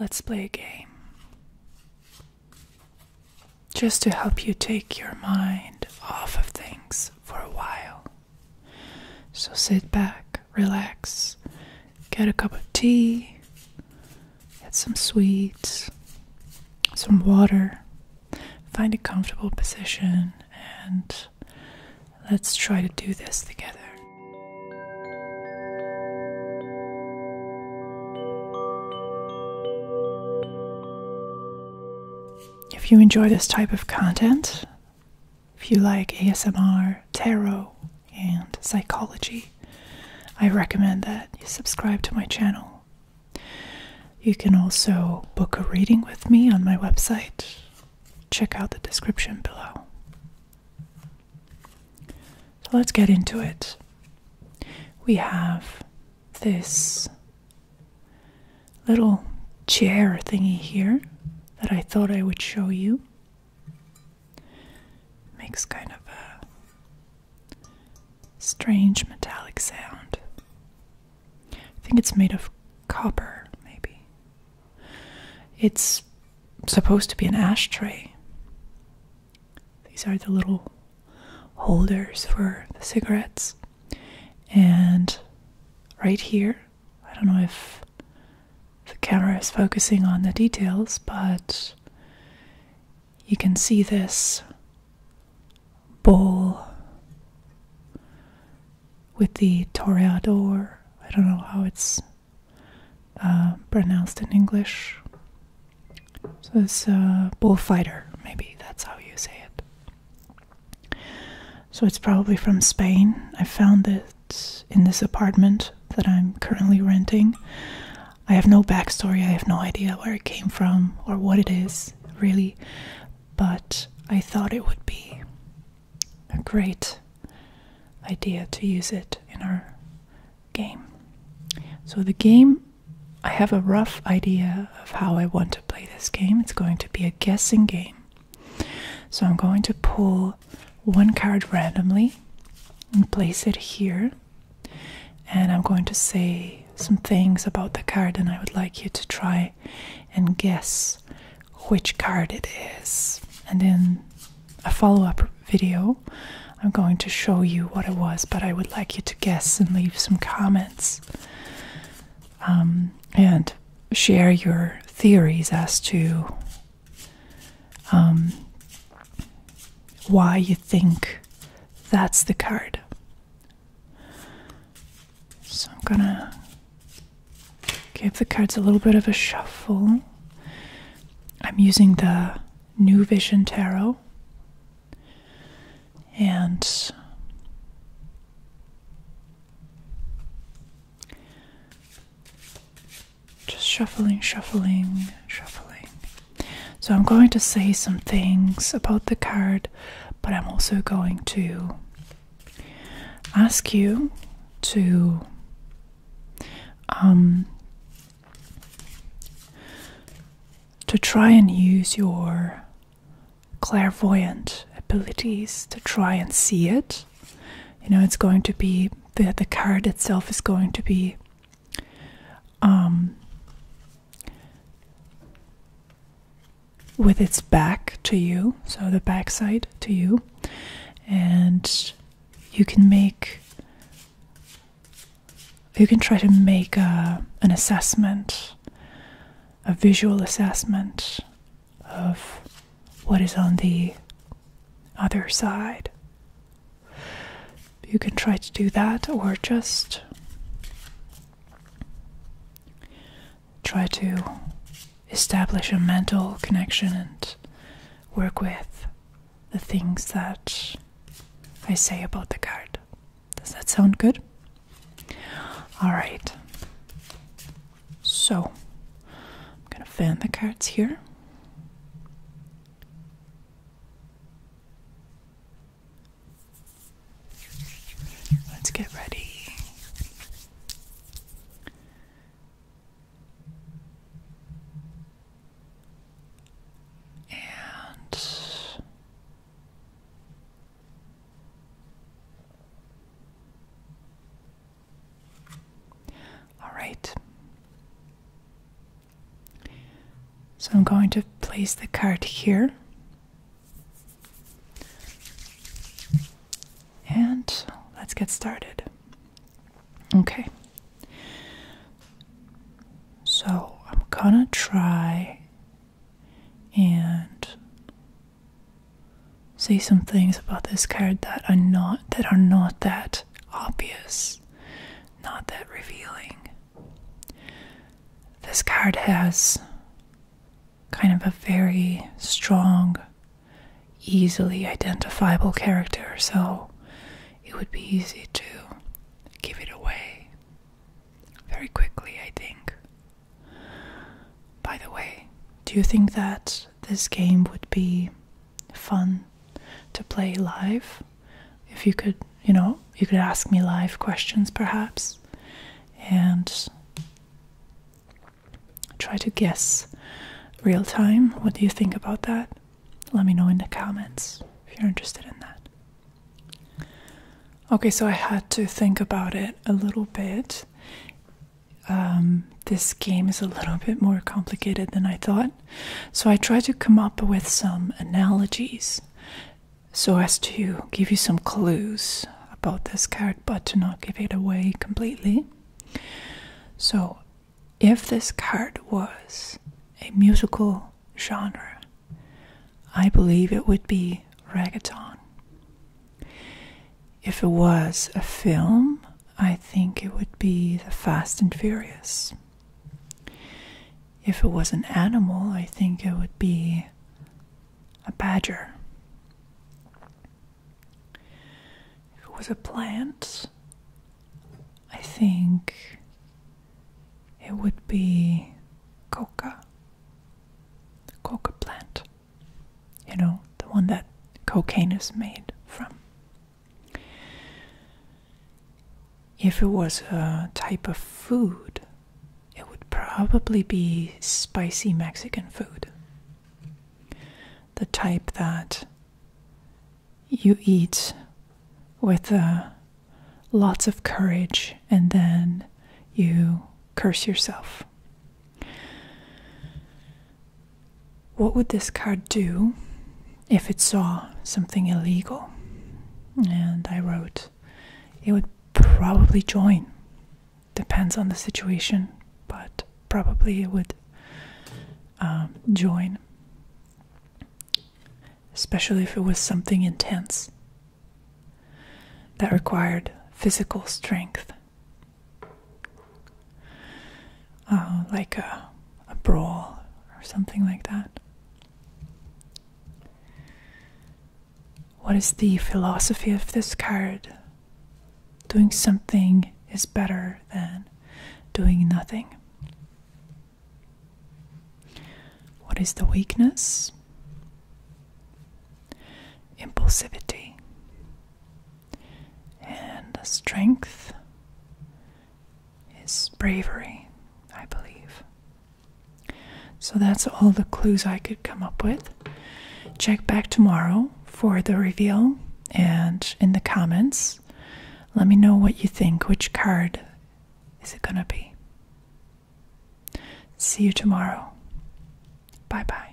Let's play a game. Just to help you take your mind off of things for a while. So sit back, relax, get a cup of tea, get some sweets, some water, find a comfortable position, and Let's try to do this together. If you enjoy this type of content, if you like ASMR, tarot, and psychology, I recommend that you subscribe to my channel. You can also book a reading with me on my website. Check out the description below. So let's get into it. We have this little chair thingy here that I thought I would show you. Makes kind of a strange metallic sound. I think it's made of copper, maybe. It's supposed to be an ashtray. These are the little holders for the cigarettes. And right here, I don't know if the camera is focusing on the details, but you can see this bowl with the toreador. I don't know how it's uh, pronounced in English. So it's a uh, bullfighter, maybe that's how you say it. So it's probably from Spain. I found it in this apartment that I'm currently renting. I have no backstory, I have no idea where it came from or what it is, really, but I thought it would be a great idea to use it in our game. So, the game, I have a rough idea of how I want to play this game. It's going to be a guessing game. So, I'm going to pull one card randomly and place it here. And I'm going to say some things about the card, and I would like you to try and guess which card it is. And in a follow up video, I'm going to show you what it was, but I would like you to guess and leave some comments um, and share your theories as to um, why you think that's the card. So I'm gonna give the cards a little bit of a shuffle. I'm using the New Vision Tarot, and just shuffling, shuffling, shuffling. So I'm going to say some things about the card, but I'm also going to ask you to um, to try and use your clairvoyant abilities to try and see it. You know, it's going to be the the card itself is going to be um, with its back to you, so the backside to you, and you can make you can try to make a, an assessment, a visual assessment of what is on the other side. You can try to do that or just try to establish a mental connection and work with the things that I say about the card. Does that sound good? Alright. So, I'm gonna fan the cards here. Let's get ready. And all right. So I'm going to place the card here. And let's get started. Okay. So I'm gonna try and say some things about this card that are not that are not that obvious not that revealing. This card has kind of a very strong, easily identifiable character, so it would be easy to give it away very quickly, I think. By the way, do you think that this game would be fun to play live? if you could, you know, you could ask me live questions perhaps and try to guess real time. What do you think about that? Let me know in the comments if you're interested in that. Okay, so I had to think about it a little bit. Um, this game is a little bit more complicated than I thought. So I try to come up with some analogies so as to give you some clues about this card, but to not give it away completely. So, if this card was a musical genre, I believe it would be reggaeton. If it was a film, I think it would be The Fast and Furious. If it was an animal, I think it would be a badger. If it was a plant, I think it would be coca. coca plant. You know, the one that cocaine is made from. If it was a type of food, it would probably be spicy Mexican food. The type that you eat with uh, lots of courage and then you curse yourself what would this card do if it saw something illegal? And I wrote, it would probably join. Depends on the situation, but probably it would um, join. Especially if it was something intense that required physical strength. Oh, like a brawl or something like that. What is the philosophy of this card? Doing something is better than doing nothing. What is the weakness? Impulsivity. And the strength is bravery, I believe. So that's all the clues I could come up with. Check back tomorrow for the reveal and in the comments, let me know what you think. Which card is it going to be? See you tomorrow. Bye bye.